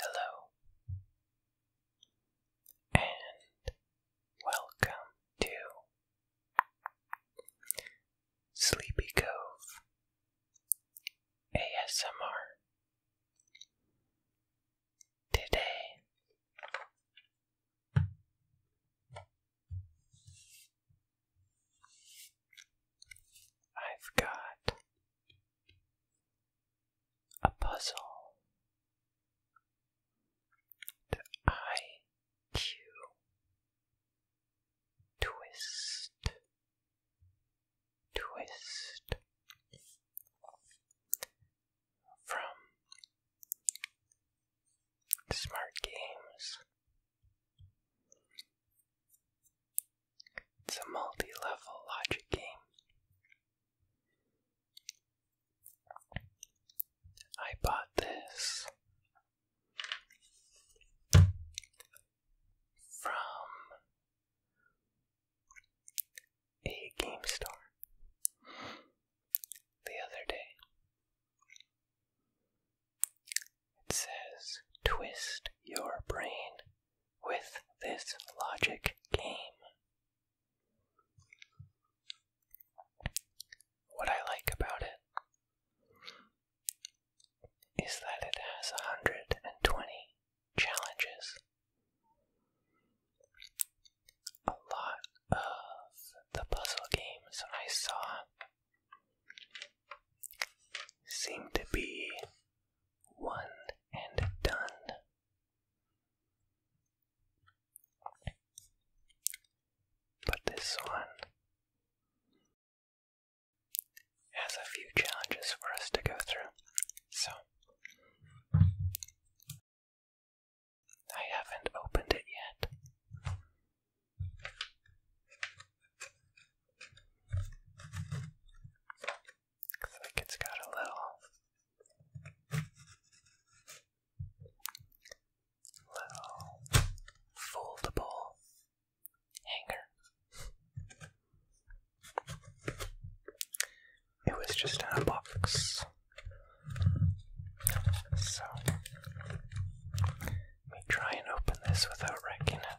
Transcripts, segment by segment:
Hello, and welcome to Sleepy Cove ASMR. Today, I've got a puzzle. The IQ twist, twist from Smart Games. It's a multi level logic game. I bought this from a game store the other day. It says, Twist your brain with this logic game. What I like about it is that it has 120 challenges. A lot of the puzzle games I saw seem to be one and done. But this one has a few challenges for us to go through, so I haven't opened it yet. Looks like it's got a little, little foldable hanger. It was just in a box. So, let me try and open this without wrecking it.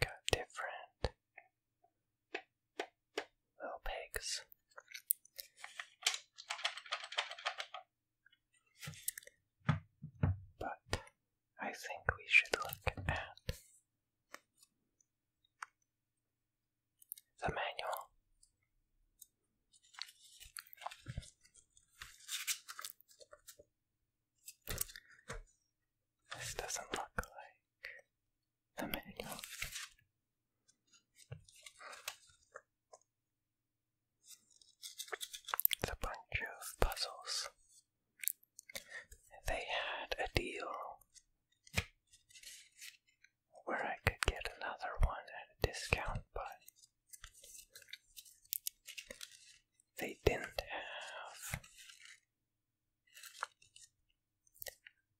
Got different little pigs. But I think we should look at the manual. This doesn't look like the manual. It's a bunch of puzzles. They had a deal where I could get another one at a discount, but they didn't have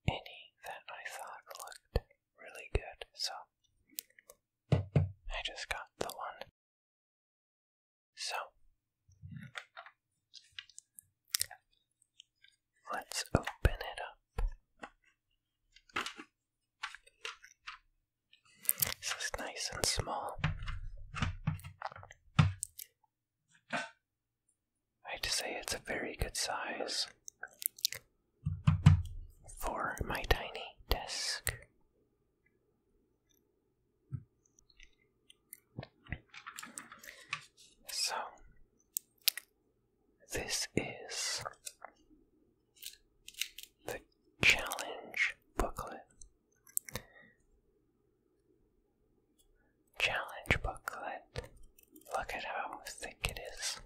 any that I thought looked really good, so I just got the one so, let's open it up. This is nice and small. I have to say, it's a very good size for my tiny desk. So, this is the challenge booklet. Challenge booklet. Look at how thick it is.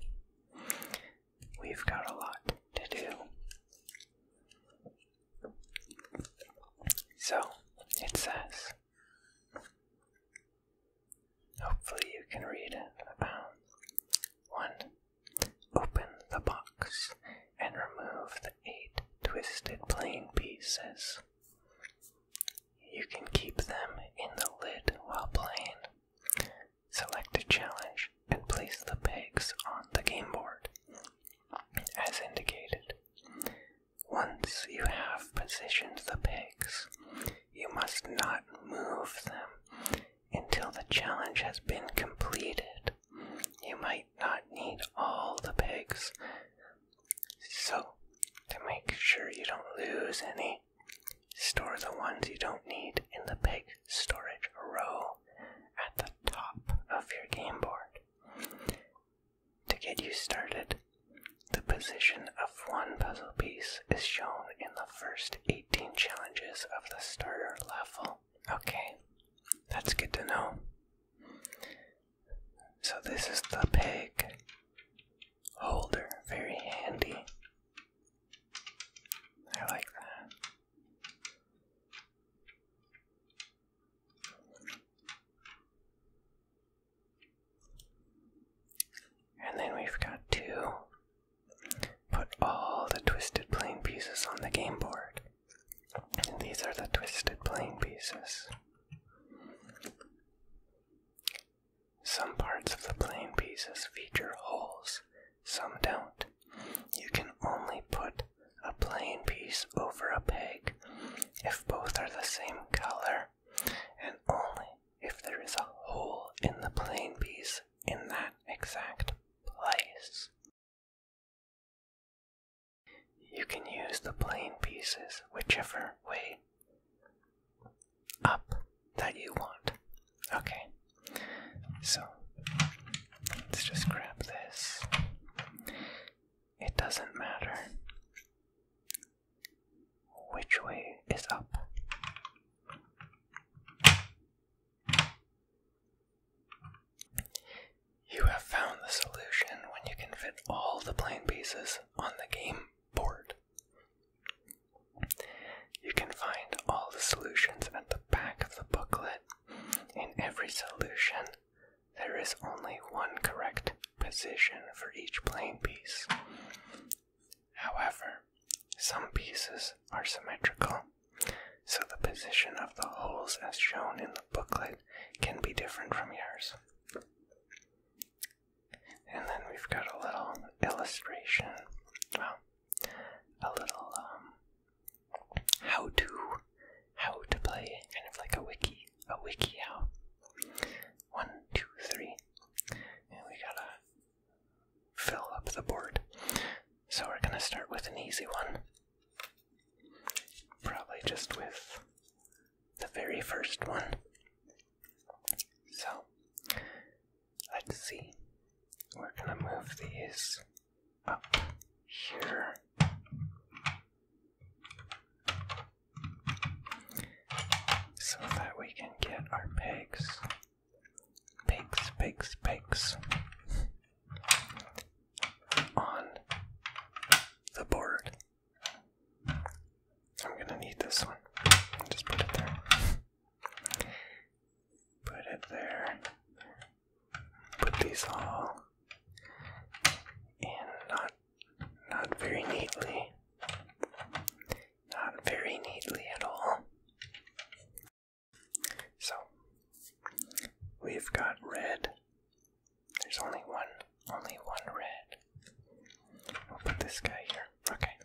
We've got a lot to do. So it says. Hopefully, you can read it. About um, one. Open the box and remove the eight twisted playing pieces. You can keep them in the lid while playing. Select a challenge and place the pegs on the game board as indicated. Once you have positioned the pigs, you must not move them until the challenge has been completed. You might not need all the pigs, so to make sure you don't lose any, store the ones you don't need in the pig storage row at the top of your game board. To get you started, the position of one puzzle piece is shown in the first 18 challenges of the starter level. Okay, that's good to know. So, this is the peg holder, very handy. I like that. And then we've got to put all the twisted plane pieces on the game board. And these are the twisted plane pieces. Some parts of the plane pieces feature holes, some don't. You can only put a plain piece over a peg if both are the same color, and only if there is a hole in the plain piece in that exact place. You can use the plain pieces whichever way up that you want. Okay, so Let's just grab this. It doesn't matter which way is up. You have found the solution when you can fit all the plane pieces on the game board. You can find all the solutions at the back of the booklet. In every solution, there is only one correct position for each plane piece. However, some pieces are symmetrical, so the position of the holes as shown in the booklet can be different from yours. And then we've got a little illustration, well, a little um, how to how to play, kind of like a wiki, a wiki how. One, two, three, and we gotta fill up the board. So we're gonna start with an easy one. Probably just with the very first one. So let's see. We're gonna move these up here. So that we can get our pegs. Pegs, pegs, pegs. On the board. I'm gonna need this one. Just put it there. Put it there put these all in not not very neatly. Not very neatly at all. So we've got red. There's only one only one red. We'll put this guy here. Okay.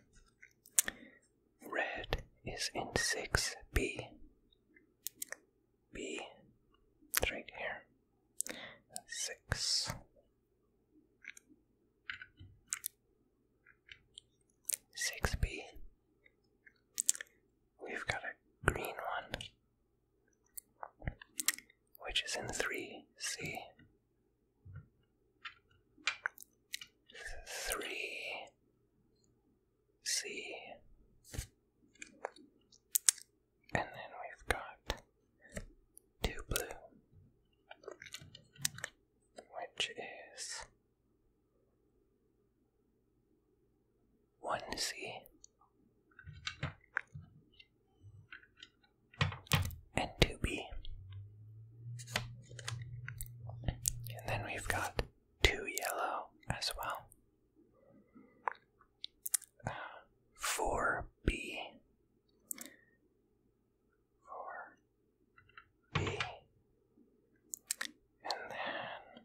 Red is in six B. B right here. Six. Six B. We've got a green one, which is in three C. Three C. And then we've got two blue, which is one C and two B. And then we've got two yellow as well four B four B and then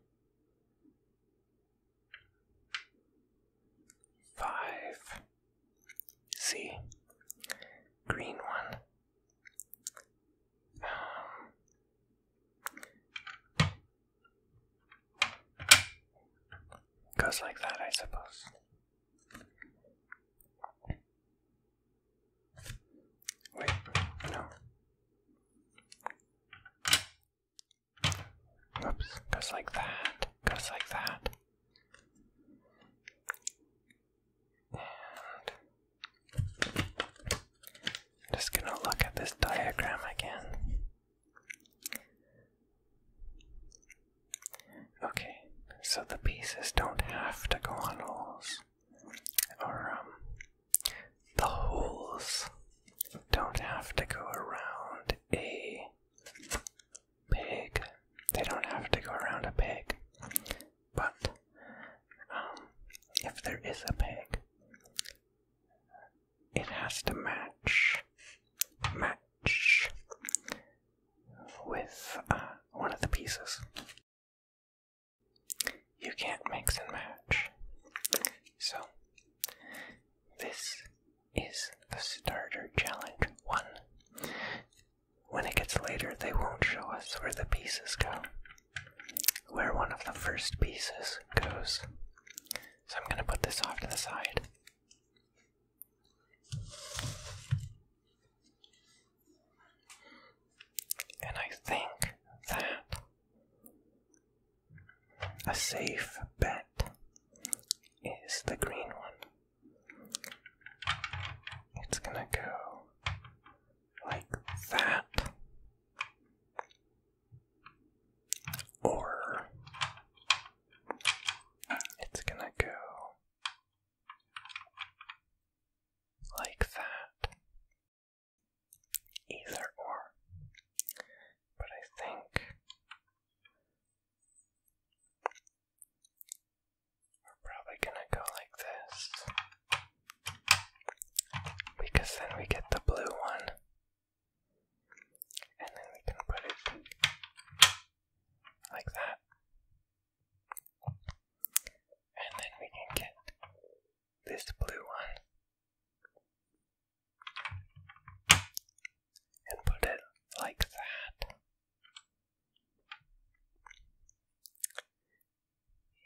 five C green one um, Goes like that, I suppose. Wait, no. Oops, goes like that, goes like that. just gonna look at this diagram again. Okay, so the pieces don't have to go on holes. Or, um, the holes don't have to go around a pig. They don't have to go around a pig. But, um, if there is a pig, it has to match match with uh, one of the pieces. You can't mix and match. So, this is the starter challenge one. When it gets later, they won't show us where the pieces go, where one of the first pieces goes. So I'm going to put this off to the side. And I think that a safe bet is the green one. It's going to go like that. Or it's gonna go like that. Either or. But I think we're probably gonna go like this. Because then we get the blue one. And then we can put it like that. And then we can get this blue one and put it like that.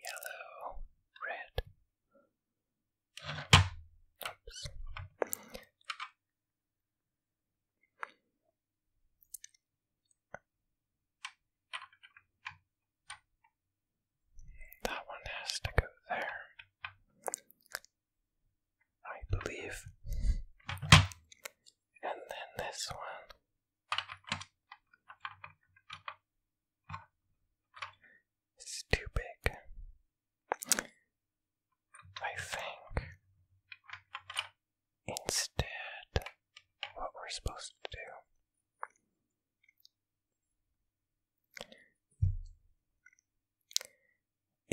Yellow, red, that one has to go there. I believe. And then this one. It's too big. I think instead, what we're supposed to do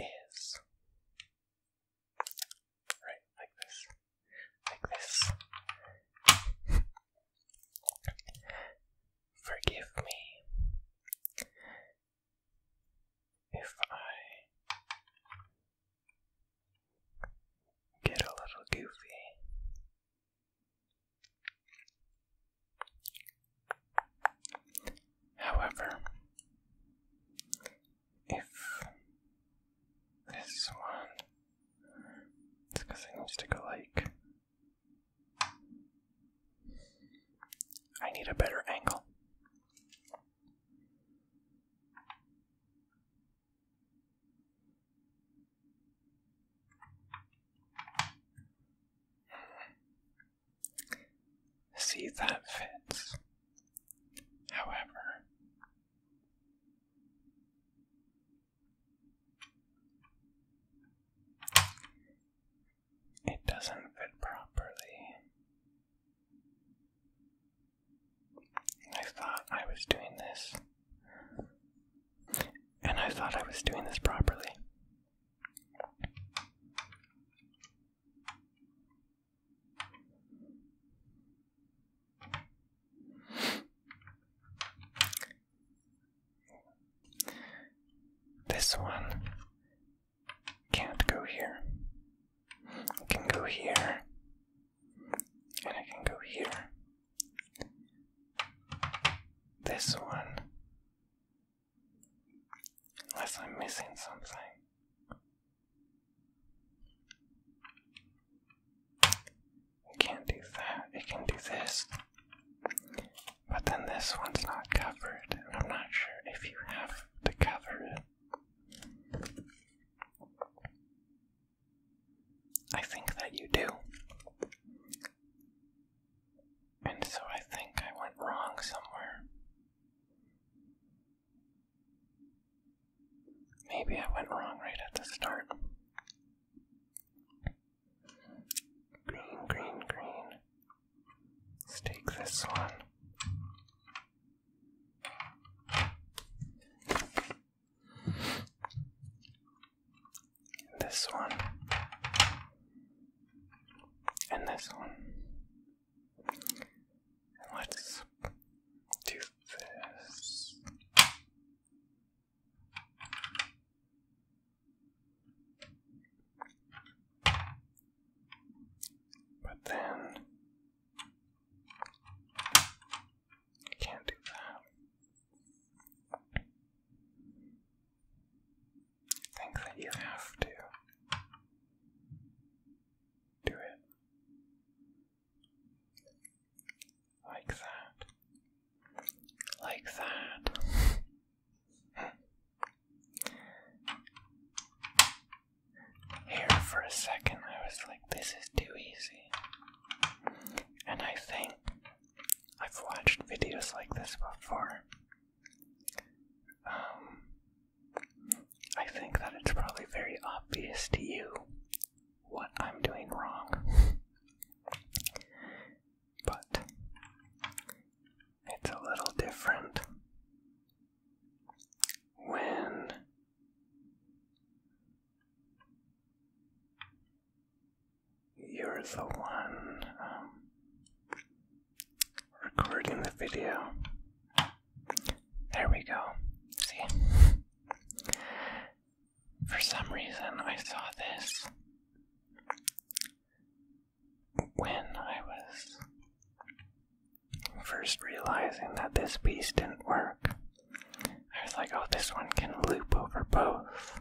is right like this, like this. Forgive me if I get a little goofy. However, if this one, it's because it needs to go like I need a better angle. See, that fits. However, it doesn't fit properly. I thought I was doing this. And I thought I was doing this properly. This one can't go here. I can go here. And I can go here. This one. Unless I'm missing something. can't do that. I can do this. But then this one's not covered, and I'm not sure if you have to cover it. I think that you do. And so I think I went wrong somewhere. Maybe I went wrong right at the start. Green, green, green. Let's take this one. This one. And this one. let's do this. But then I can't do that. I think that you have to do it like that. Like that. Here for a second, I was like, this is too easy. And I think I've watched videos like this before. Um, I think that it's probably very obvious to you what I'm doing wrong. but it's a little different when you're the one um, recording the video. There we go. See? For some reason, I saw this when I was first realizing that this piece didn't work, I was like, oh, this one can loop over both.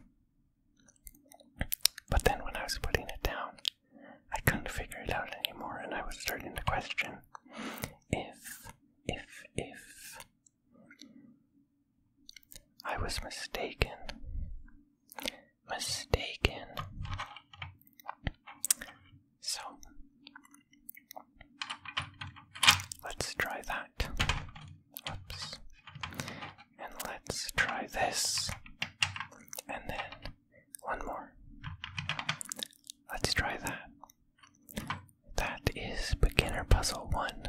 But then when I was putting it down, I couldn't figure it out anymore, and I was starting to question if, if, if I was mistaken mistaken. So let's try that. Oops. And let's try this. And then one more. Let's try that. That is beginner puzzle one.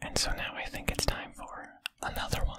And so now I think it's time for another one.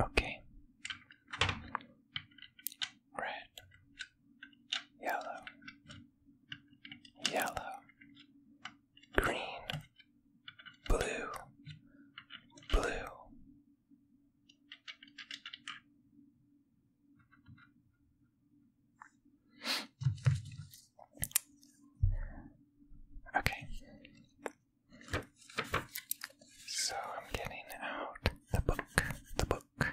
Okay. Red, yellow, yellow, green, blue, blue. Okay. So I'm getting out the book, the book.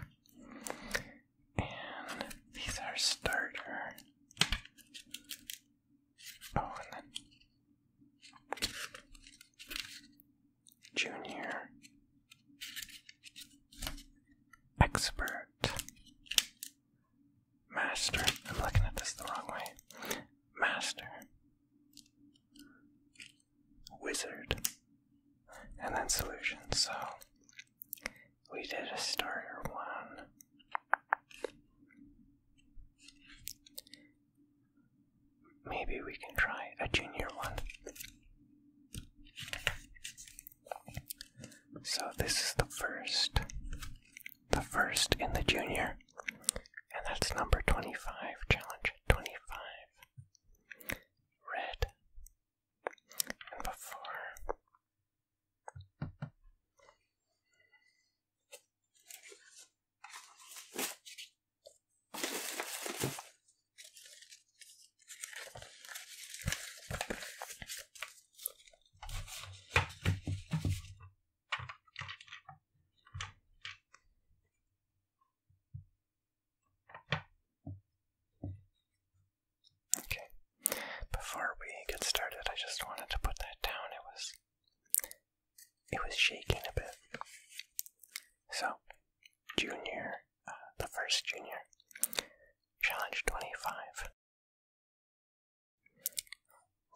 And these are starter. Oh, and then junior expert Master. I'm looking at this the wrong way. Master. Wizard. And then solution. So we did a starter one. Maybe we can try a junior one. So this is the first, the first in the junior, and that's number 25, challenge 25. Red. And before. Okay, before we get started, I just wanted to put that down. It was it was shaking a bit. So, junior, uh, the first junior, challenge 25.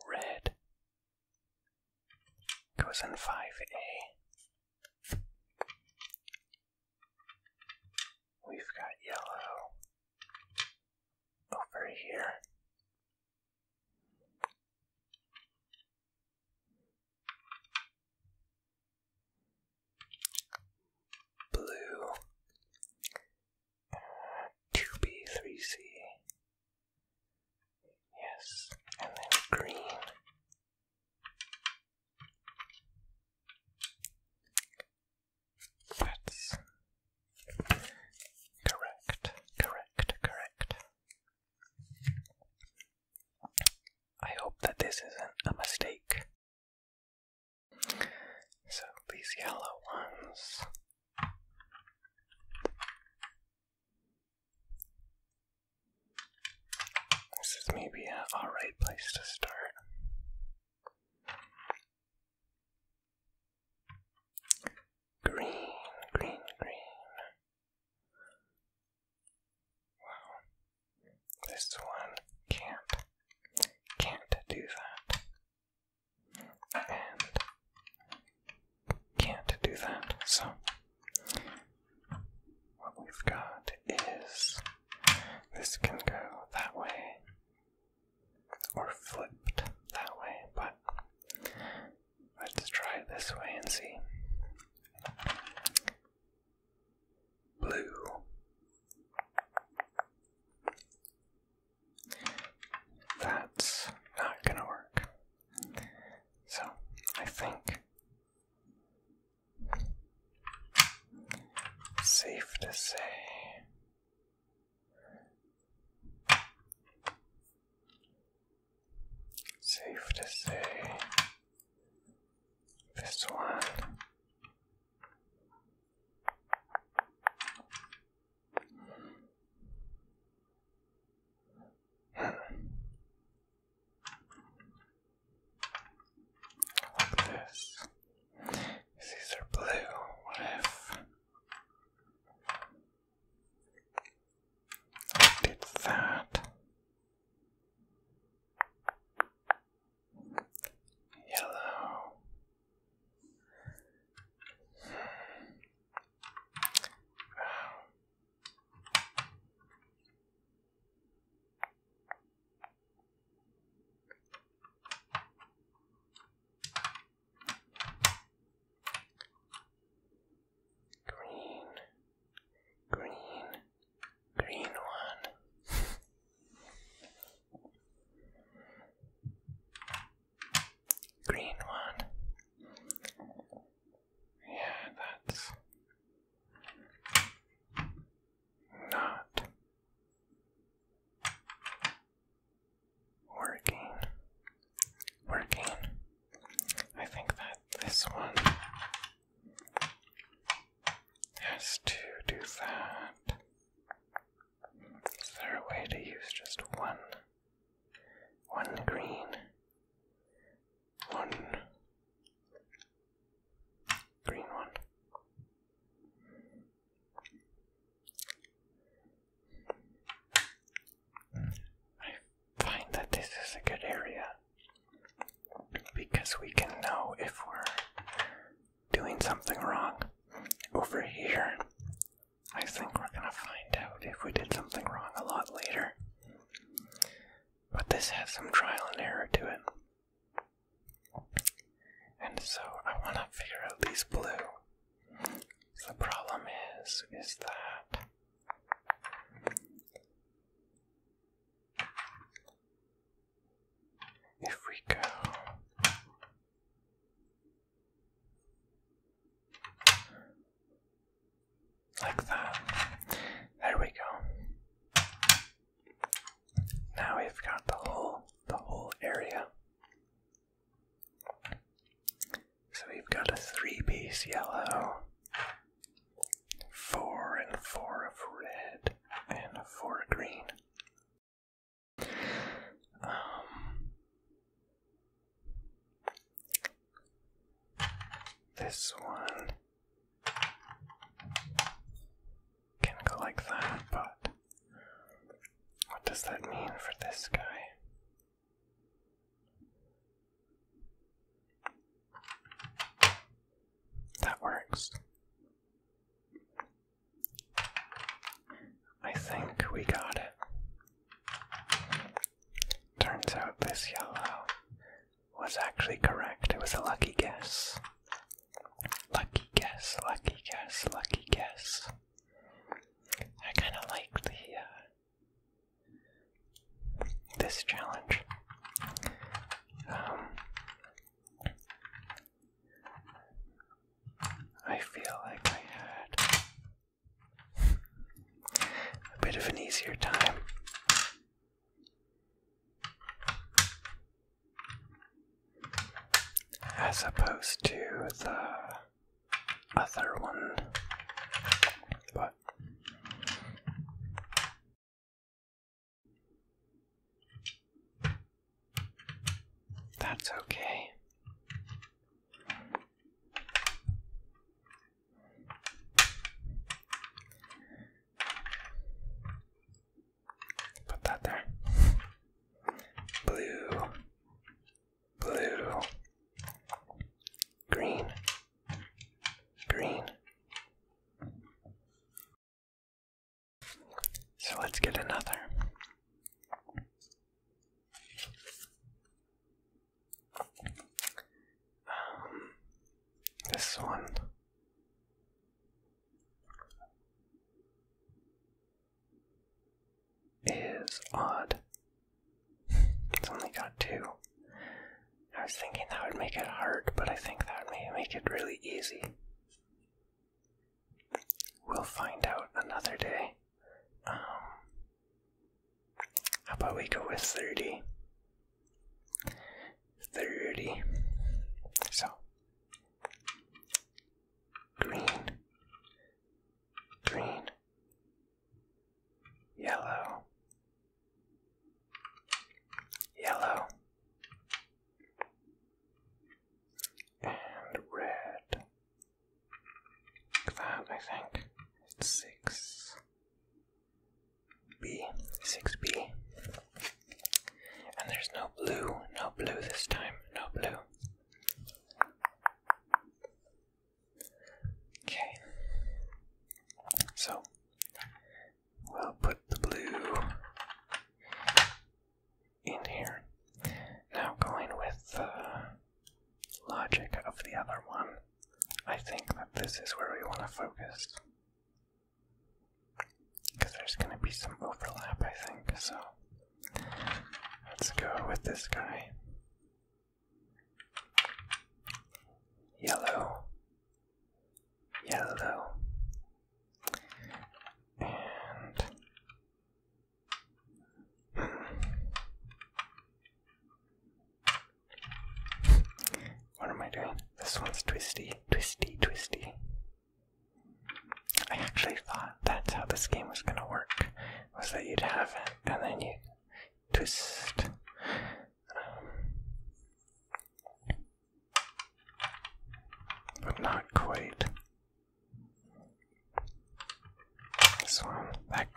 Red goes in 5A. We've got yellow over here. Blue 2B, 3C. Yes, and then green. That's correct, correct, correct. I hope that this isn't a mistake. So these yellow ones this is maybe an alright place to start. Green, green, green. Wow. This one can't can't do that and can't do that. So, what we've got is this can go that way or flipped that way, but let's try this way and see. Blue. That's not gonna work. So, I think safe to say. Safe to say this one like this. These are blue. What if I did that? Yellow. Green, green, green one. Green one. Yeah, that's not working. Working. I think that this one has to do that. Is there a way to use just one? One green. One green one. I find that this is a good area because we can know if we're doing something wrong. Over here, I think we're gonna find out if we did something wrong a lot later. But this has some trial and error to it. And so I wanna figure out these blue. the problem is, is that if we go like that. There we go. Now we've got the whole the whole area. So we've got a three-piece yellow, four and four of red, and four green. Um, this one can go like that, but what does that mean for this guy? That works. I think we got it. Turns out this yellow was actually correct. It was a lucky guess. Lucky guess, lucky guess, lucky guess. I kind of like the uh, this challenge. Um, I feel like I had a bit of an easier time. As opposed to the other one, but that's okay. Put that there. Blue, blue, green, green. So let's get another. Um, this one. Is odd. it's only got two. I was thinking that would make it hard, but I think that may make it really easy. We'll find out another day. Um, how about we go with 30? 30. So, green, green, yellow, yellow, and red that I think six B six B and there's no blue, no blue this time, no blue. Okay. So we'll put the blue in here. Now, going with the logic of the other one, I think that this is where we want to focus. Because there's going to be some overlap, I think, so let's go with this guy. Yellow, yellow, and what am I doing? This one's twisty, twisty, twisty. I actually thought that's how this game was gonna work. Was that you'd have it and then you twist. Um, but not quite. This one, that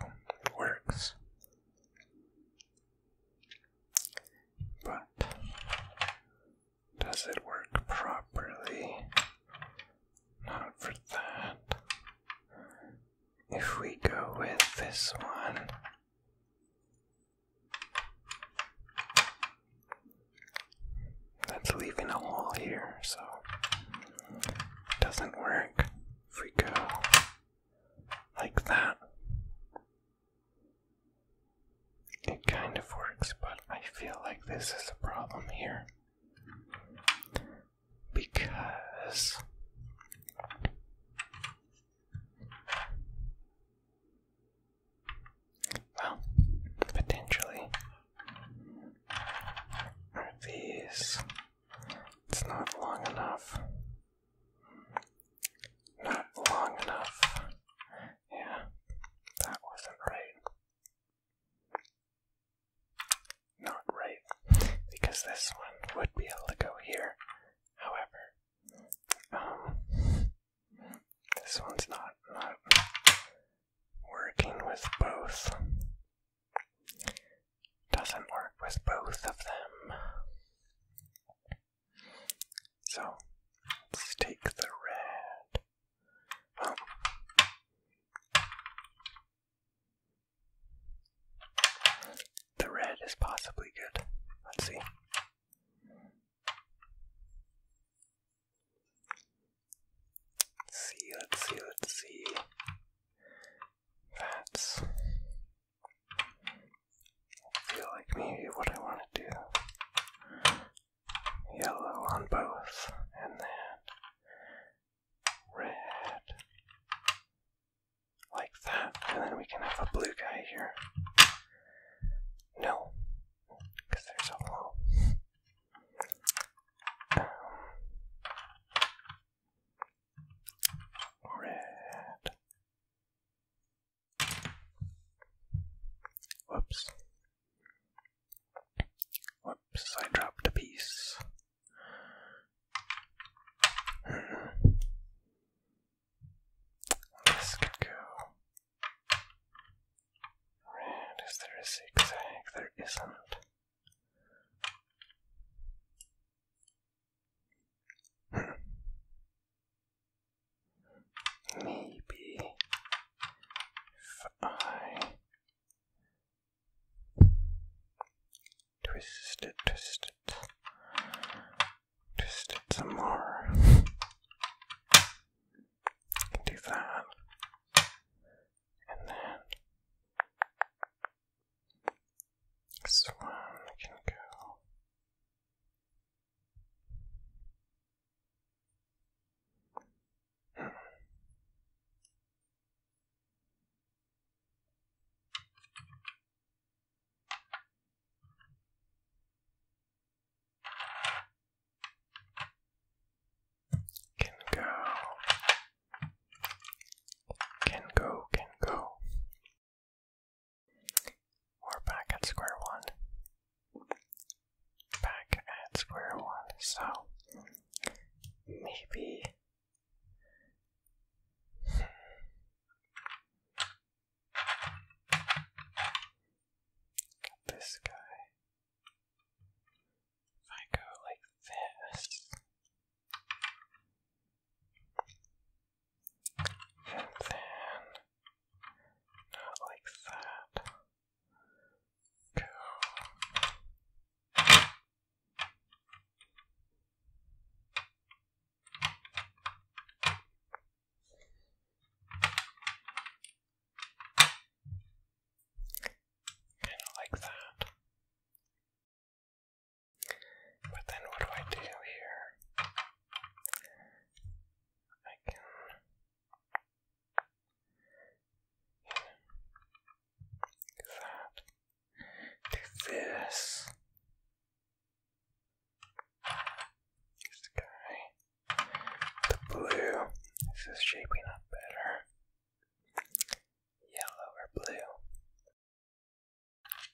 works. But does it work properly? Not for that. If we go with this one, that's leaving a hole here, so doesn't work. If we go like that, it kind of works, but I feel like this is a problem here because. Well, potentially are these. It's not long enough. Not long enough. Yeah, that wasn't right. Not right, because this one would be able to go here. However, um, this one's not not working with both doesn't work with both of them. So let's take the red. the red is possibly good. Let's see. Let's see, let's see, let's see. That's. I feel like maybe what I want to do. Yellow on both, and then red. Like that, and then we can have a blue guy here. No, because there's a wall. Um, red. Whoops. Whoops, I dropped a piece. Mm. This go. Red, is there a zigzag? There isn't. Maybe if I twist it, twist it, twist it some more. I can do that and then this one can go. Can go. Can go, can go. We're back at square one. Back at square one, so maybe. this guy. If I go like this, and then not like that, go. Kind of like that. But then what do I do here? I can. Do that. Do this. This guy. The blue. This is shaping up better yellow or blue.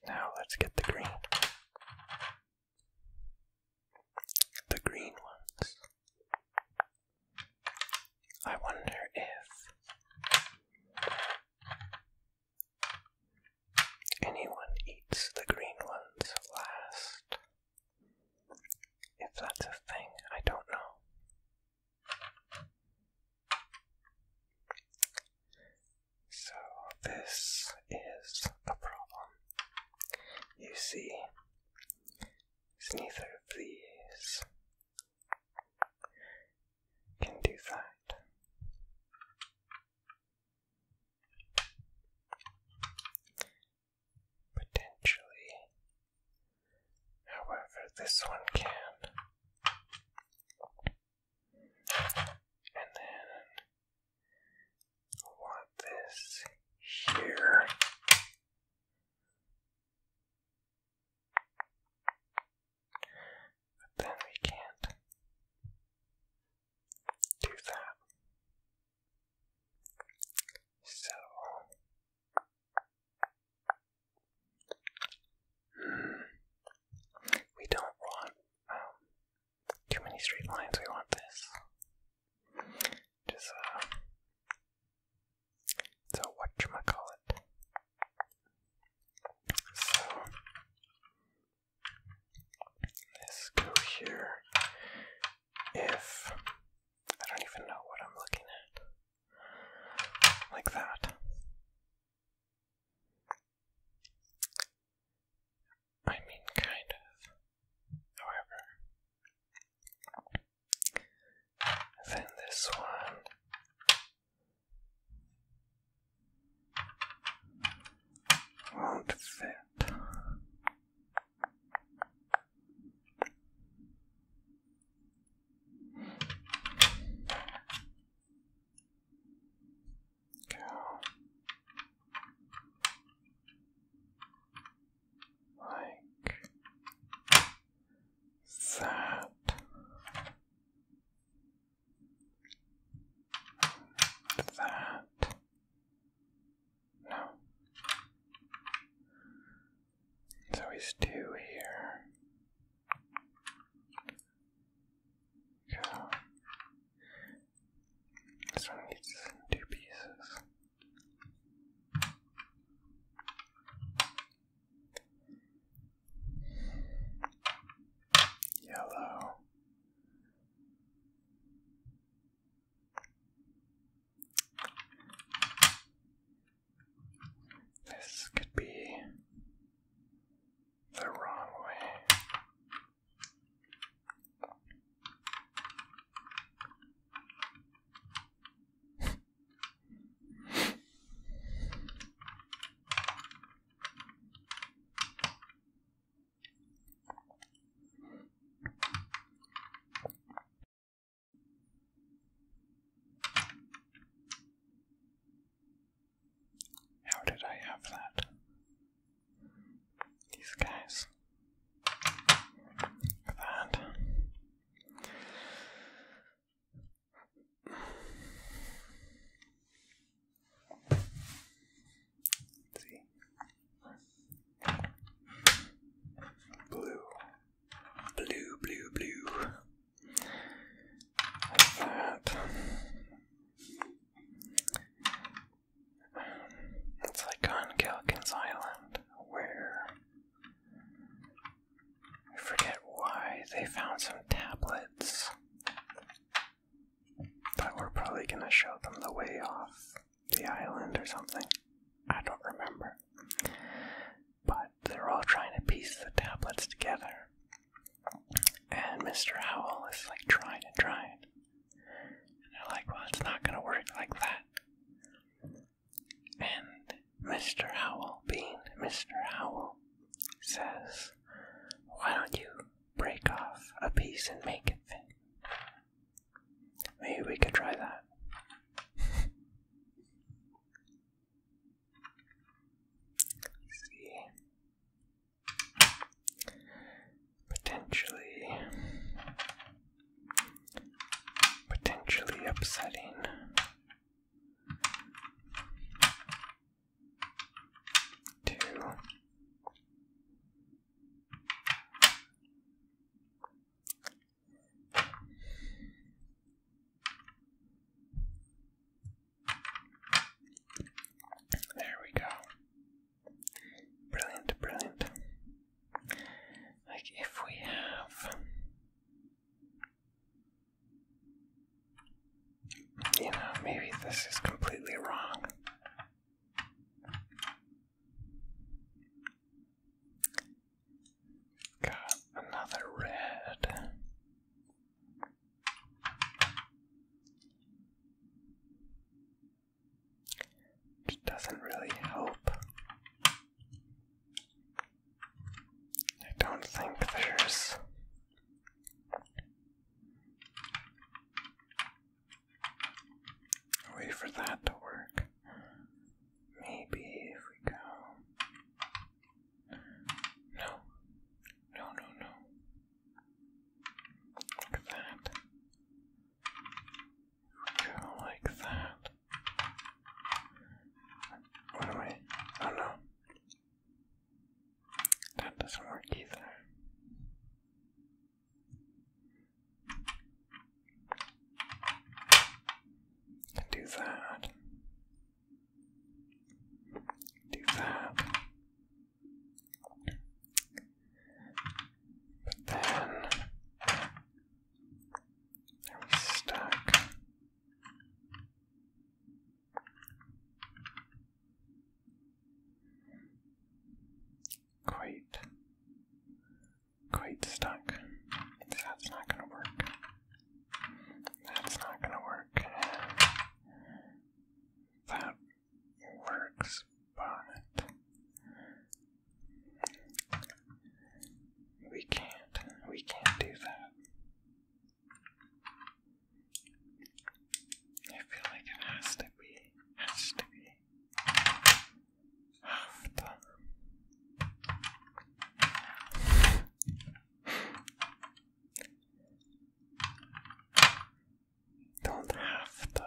Now let's get the green. The green ones. I wonder if anyone eats the green ones last. If that's a thing, I don't know. So, this is the problem. You see, it's neither of these can do that. Potentially, However, this one can. And then I want this here. But then we can't do that. So we don't want um, too many straight lines. We want this. Just uh, so what you call it? So let's go here. If I don't even know what I'm looking at like that. I mean, kind of. However, then this one. Won't fit. Cow. Like that. That. No. So he's two here. Okay. This one needs two pieces. Yellow. This could be the wrong way. How did I have that? These guys. That. Let's see. Blue. Blue, blue, blue. It's like on Galkin's Island, where I forget why they found some tablets that were probably going to show them the way off the island or something. I don't remember but they're all trying to piece the tablets together. And Mr. Owl is like trying and trying. they're like, well, it's not gonna work like that. And Mr. Owl, being Mr. Owl, says, why don't you break off a piece and make it fit? Maybe we could try that. Potentially, potentially upsetting. Two. There we go. Brilliant, brilliant. Like if we have you know, maybe this is completely wrong. Got another red. Which doesn't really help. I don't think there's. a way for that to work. Maybe if we go no. No, no, no. Look at that. Go like that. What am I? Oh no. That doesn't work either. do that. Do that. But then are we stuck? Quite, quite stuck. That's not going to work. That's not gonna work. That works, but we can't. We can't do that. I feel like it has to be. Has to be. After. Don't have to.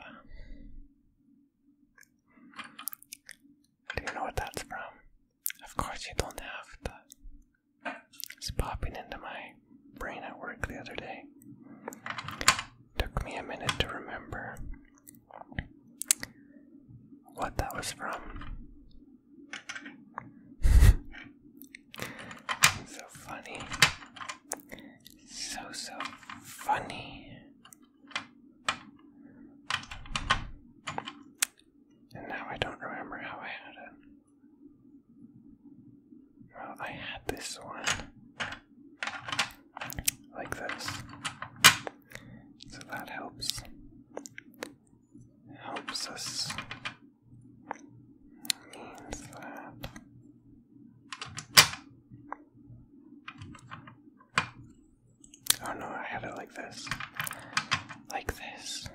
Do you know what that's from? Of course, you don't have to. It's popping into my brain at work the other day. Took me a minute to remember what that was from. so funny. So, so funny. And now I don't remember how I had it. Well, I had this one. Like this. So that helps helps us means that oh no, I had it like this, like this,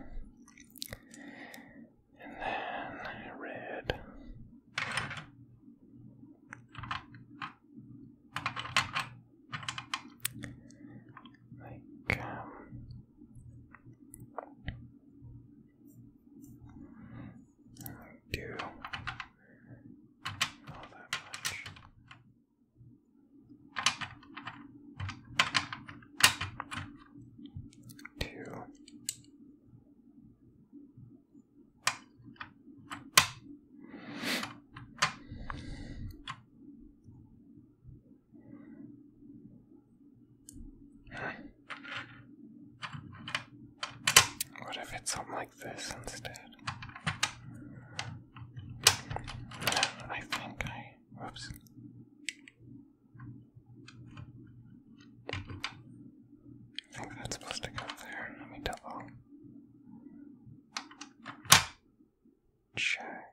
and then red. Like um, do all that much. Two. What if it's something like this instead? I think I. Whoops. I think that's supposed to go there. Let me double check.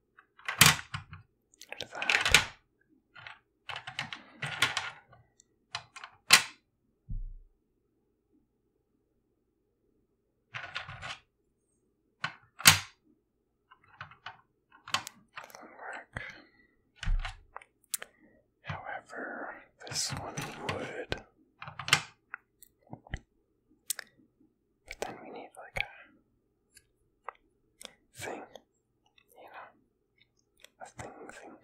There's that. work. However, this one would. But then we need like a thing you know, a thing thing.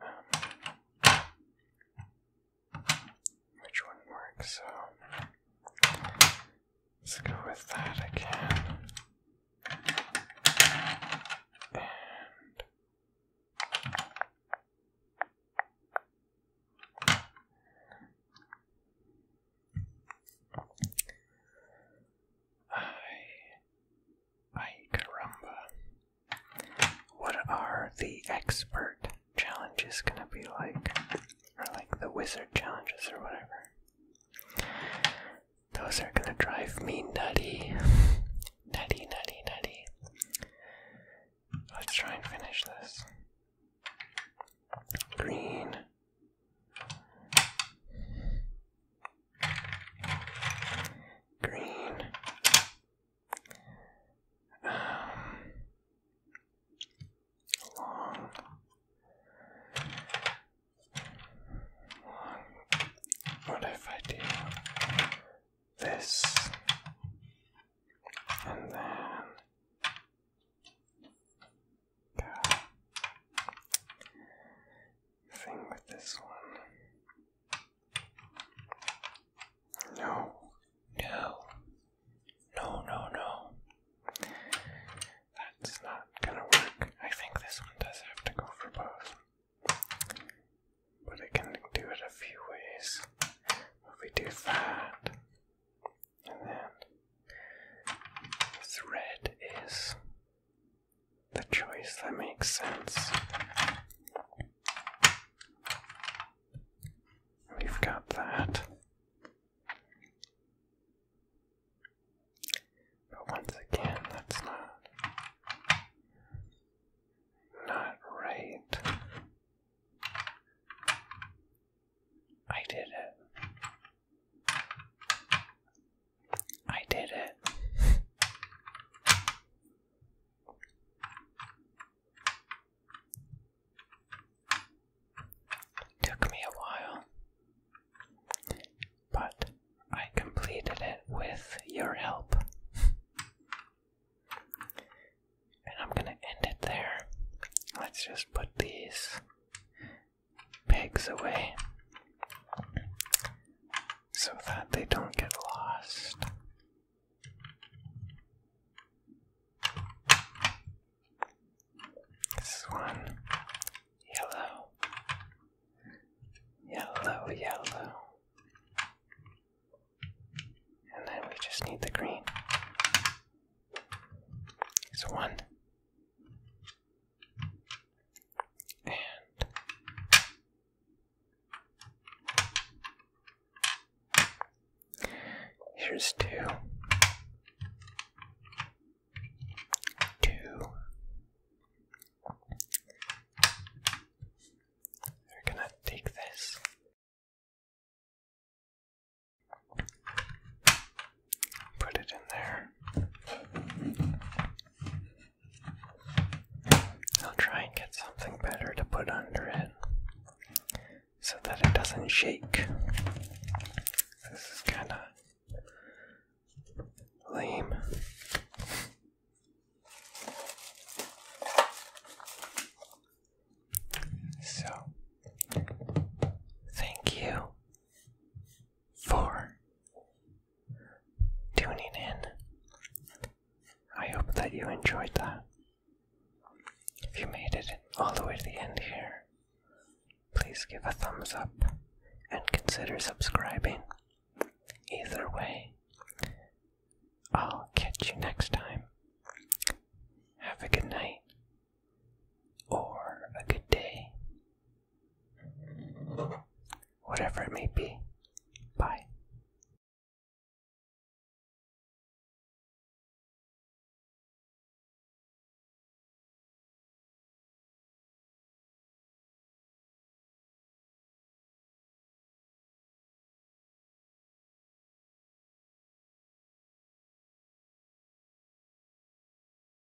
Um, which wouldn't so let's go with that again. Ay, ay, caramba. What are the expert challenges gonna be like? Or like the wizard challenges or whatever? Those are gonna drive me nutty. nutty, nutty, nutty. Let's try and finish this. Green, Green. long. Um, long. What if I do this and then Thing with this one. No. No. No, no, no. That's not gonna work. I think this one does have to go for both. But I can do it a few ways. If we do that, and then thread is the choice that makes sense. We've got that. But once again, that's not not right. I did it. I did it. Took me a while, but I completed it with your help. And I'm gonna end it there. Let's just put these pegs away so that they don't get lost. This is one yellow, yellow, yellow, and then we just need the green. So one, and here's two, two. We're gonna take this. Put it in there. I'll try and get something better to put under it so that it doesn't shake. This is kind of lame. So, thank you for tuning in. I hope that you enjoyed that. If you made it all the way to the end here, please give a thumbs up and consider subscribing. Either way, I'll catch you next time. Have a good night or a good day. Whatever it may be. Bye.